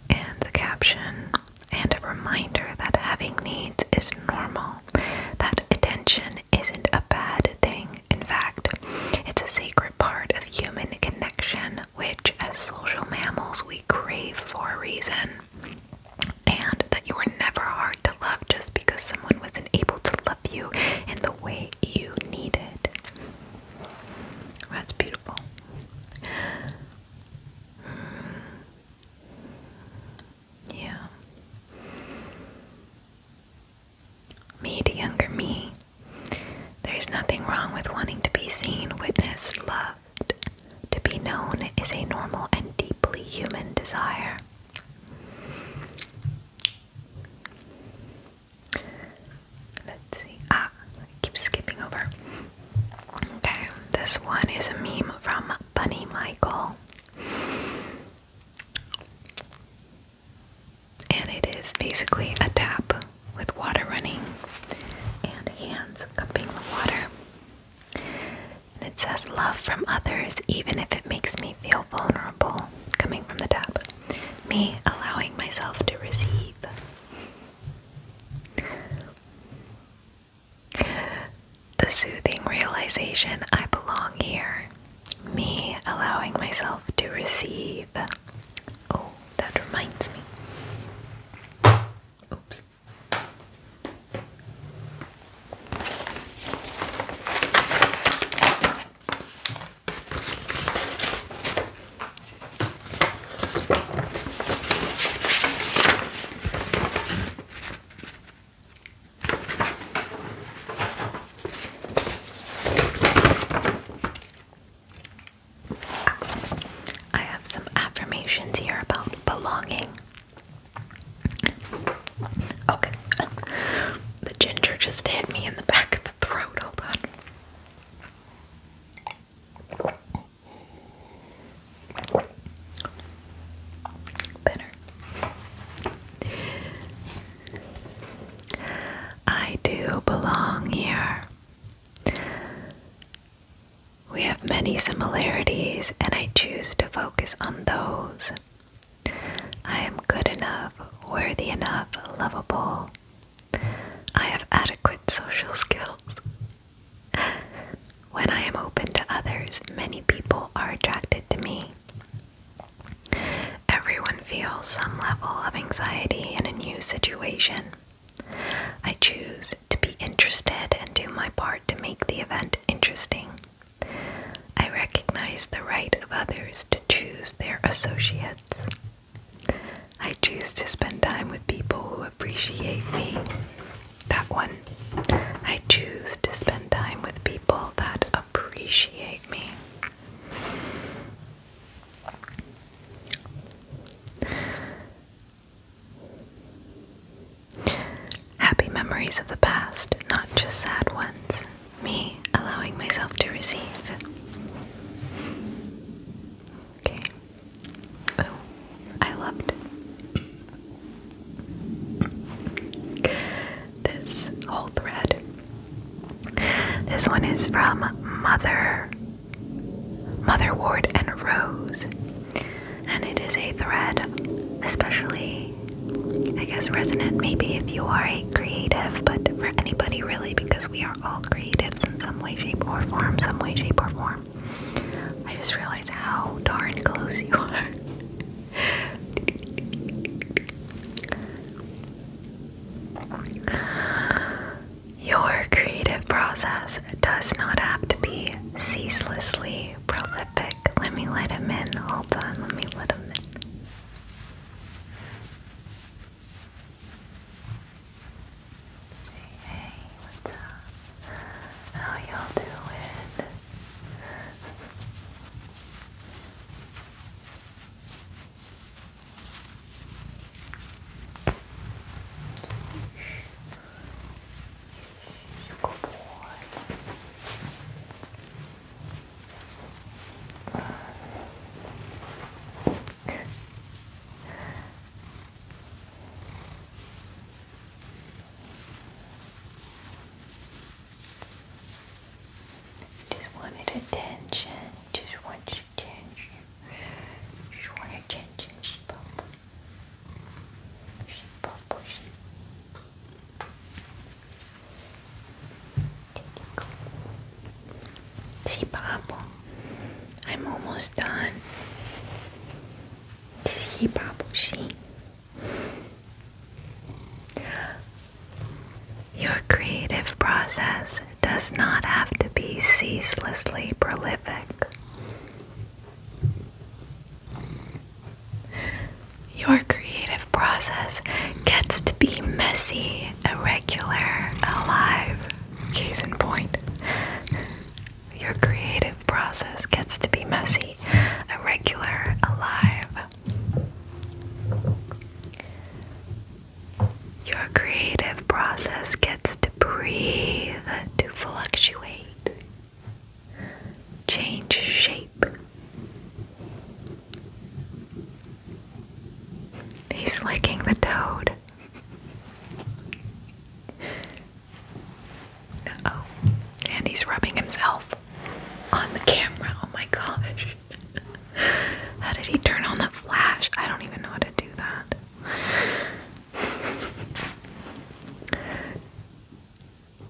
And the caption, and a reminder that having needs is normal that attention isn't a bad thing. In fact, it's a sacred part of human connection, which, as social mammals, we crave for a reason. And that you were never hard to love just because someone wasn't able to love you in the way you needed. That's beautiful. Hmm. Yeah. Me to younger me. There's nothing wrong with wanting to be seen, witnessed, loved. To be known is a normal and deeply human desire. Let's see. Ah, keep skipping over. Okay, this one is a meme from Bunny Michael. And it is basically a tap with water running and hands cupping the water. And it says, Love from others, even if it makes me feel vulnerable, coming from the tap. Me allowing myself to receive. The soothing realization I belong here. Me allowing myself to receive. Oh, that reminds me. Oops. I have some affirmations here about belonging. Okay. The ginger just hit me in the back of the throat. Hold on. Better. I do belong here. We have many similarities, and I choose to focus on those. I am good enough, worthy enough, lovable. I have adequate social skills. When I am open to others, many people are attracted to me. Everyone feels some level of anxiety in a new situation. I choose to be interested and do my part to make the event interesting. I recognize the right of others to choose their associates. I choose to spend time with people who appreciate me that one. I choose to spend time with people that appreciate me. Happy memories of the past, not just sad ones. Me allowing myself to receive. Okay. Oh, I loved this whole thread. This one is from Mother Mother Ward and Rose. And it is a thread, especially, I guess, resonant maybe if you are a creative, but for anybody really, because we are all creatives in some way, shape, or form, some way, shape, or form. I just realized how darn close you are. Your creative process does not have to be ceaselessly prolific. Let me let him in. Hold on, let me let him in. Hey, what's up? How you doing? You go boy just wanted attention. just want your attention. You just want attention. She bubble. She bubble. She See, I'm almost done. See, Papa, see, your creative process does not have to be ceaselessly prolific. Your creative process gets to be messy, irregular, alive. Case in point. Your creative process gets to be messy, irregular, alive. Your creative process gets to breathe, to fluctuate, change shape. He's licking the toad. oh. And he's rubbing himself on the camera. Oh my gosh. How did he turn on the flash? I don't even know how to do that.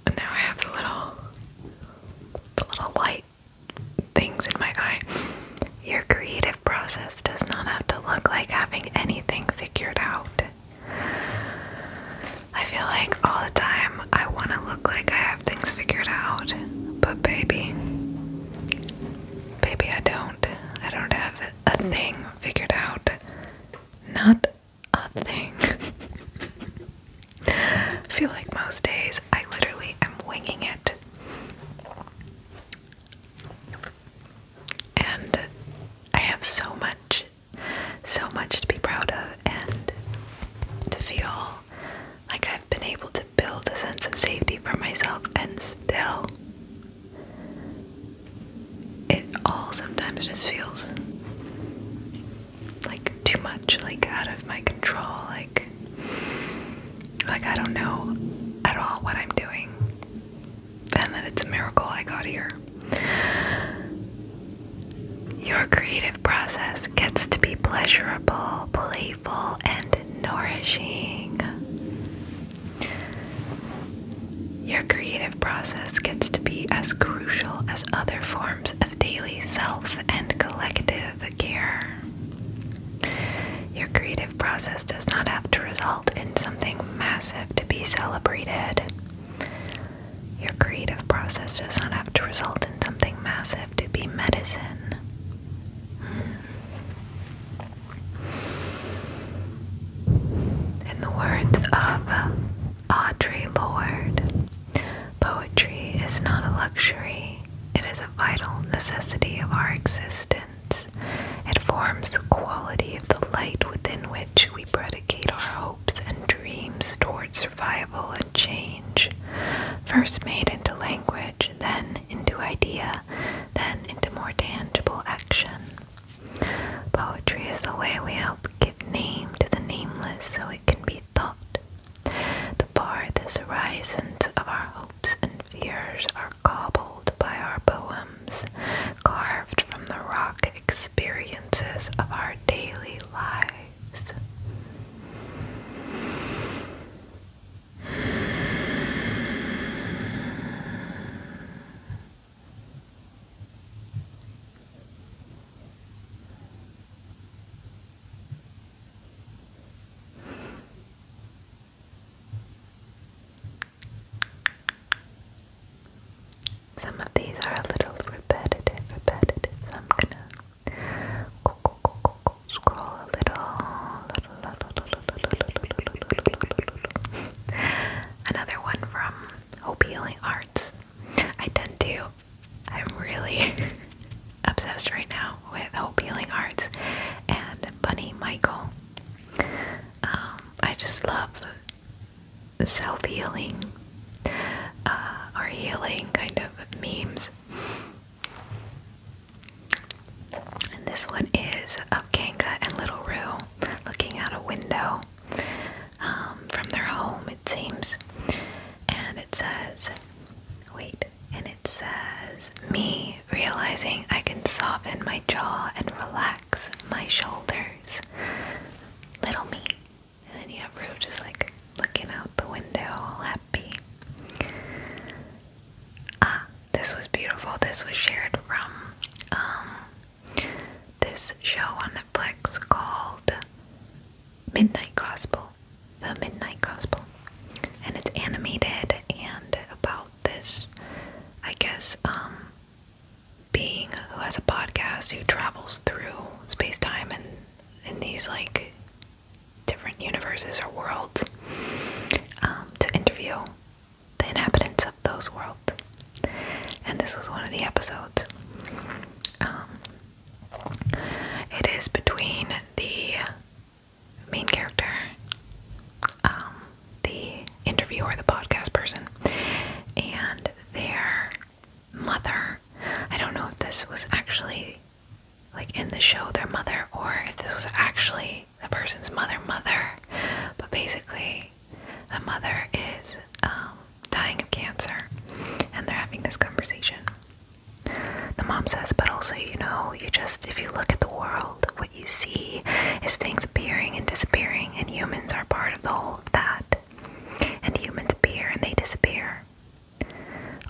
And now I have the little the little light things in my eye. Your creative process does not have to look like having anything figured out. I feel like all the time I want to look like I have things figured out, but baby, baby, I don't. I don't have a thing figured out. Not a thing. I feel like most days I literally am winging it. And I have so much, so much to be proud of, and to feel like I've been able to build a sense of safety for myself, and still, it all sometimes just feels like too much, like out of my control, like like I don't know at all what I'm doing, and that it's a miracle I got here. Your creative process gets to be pleasurable, playful, and nourishing. Your creative process gets to be as crucial as other forms of daily self and collective care. Your creative process does not have to result in something massive to be celebrated. Your creative process does not have to result in something massive to be medicine. In the words of Audre Lorde, poetry is not a luxury, it is a vital necessity of our existence. It forms the quality of the light within which we predicate our hopes and dreams towards survival change, first made into language, then into idea, then into more tangible action. Poetry is the way we help give name to the nameless so it can be thought. The farthest horizons of our hopes and fears are cobbled by our poems, carved from the rock experiences of our daily lives. Some of these are a little repetitive, repetitive, so I'm gonna Scroll a little. Another one from Hope Healing Arts. I tend to, I'm really obsessed right now with Hope Healing Arts and Bunny Michael. Um, I just love self healing uh, or healing kind of memes. And this one is of Kanga and Little Roo looking out a window um, from their home, it seems. And it says, wait, and it says, me realizing I can soften my jaw and relax my shoulders. Little me. And then you have Rue just like looking out the window, all happy. Ah, this was beautiful. This was shared from um, this show on Netflix called Midnight Gospel. The Midnight Gospel. And it's animated and about this, I guess, um, being who has a podcast who travels through space time and in these like different universes or worlds um, to interview the inhabitants of those worlds. And this was one of the episodes. Um, it is between the main character, um, the interviewer, the podcast person, and their mother. I don't know if this was actually like in the show their mother or if this was actually the person's mother mother but basically the mother is um, dying of cancer and they're having this conversation the mom says but also you know you just if you look at the world what you see is things appearing and disappearing and humans are part of the whole of that and humans appear and they disappear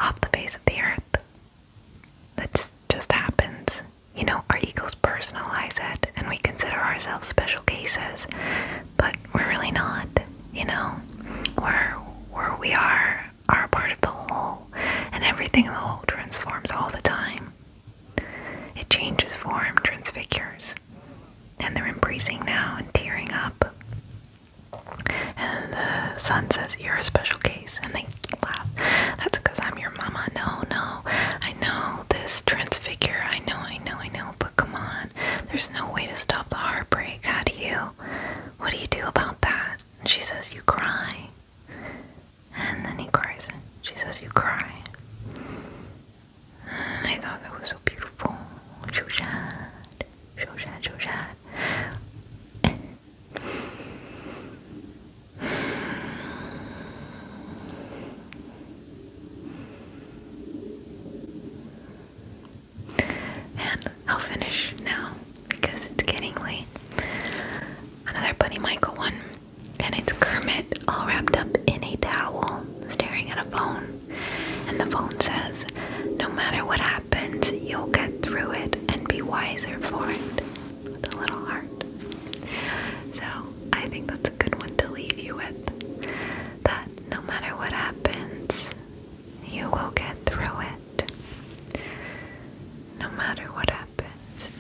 off the face of the earth. That just happens. You know, our egos personalize it and we consider ourselves special cases, but we're really not, you know? Where, where we are, are part of the whole, and everything in the whole transforms all the time. It changes form, transfigures, and they're embracing now and tearing up. And the son says, You're a special case. And they laugh. That's because I'm your mama. No, no. I know this transfigure. I know, I know, I know. But come on. There's no way to stop the heartbreak. How do you? What do you do about that? And she says, You cry. And then he cries. she says, You cry. I thought that was so beautiful. 手刹，手刹。And I'll finish now because it's getting late. Another Buddy Michael one, and it's Kermit all wrapped up in a towel, staring at a phone. And the phone says, No matter what happens, you'll get through it and be wiser for it. With a little heart. So I think that's a good one to leave you with. That no matter what happens, you will get through it. No matter what happens,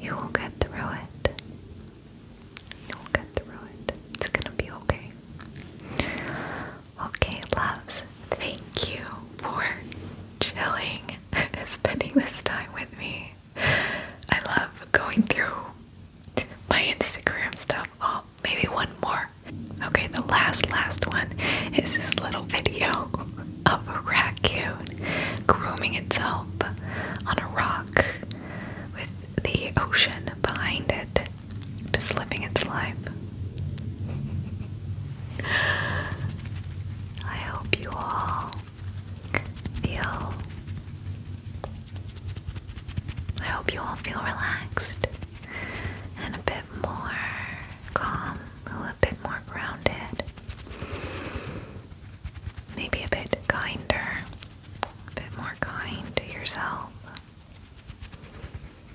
you will get through it. You will get through it. It's gonna be okay. Okay, loves, thank you for chilling and spending this time with me. I love going through my Instagram stuff. Oh, maybe one more. Okay, the last, last one is this little video of a raccoon grooming itself on a rock with the ocean behind it, just living its life. I hope you all feel I hope you all feel relaxed and a bit more calm, a little bit more grounded. Maybe a bit kinder, a bit more kind to yourself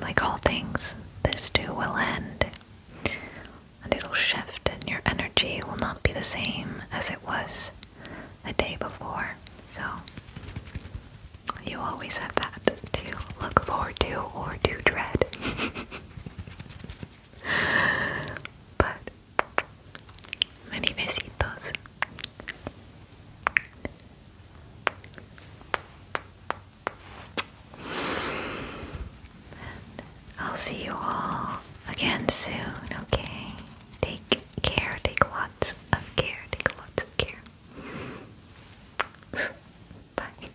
like all things, this too will end, and it'll shift, and your energy will not be the same as it was the day before. So, you always have that to look forward to or to dread. but, many besitos. I'll see you all again soon, okay? Take care, take lots of care, take lots of care. Bye.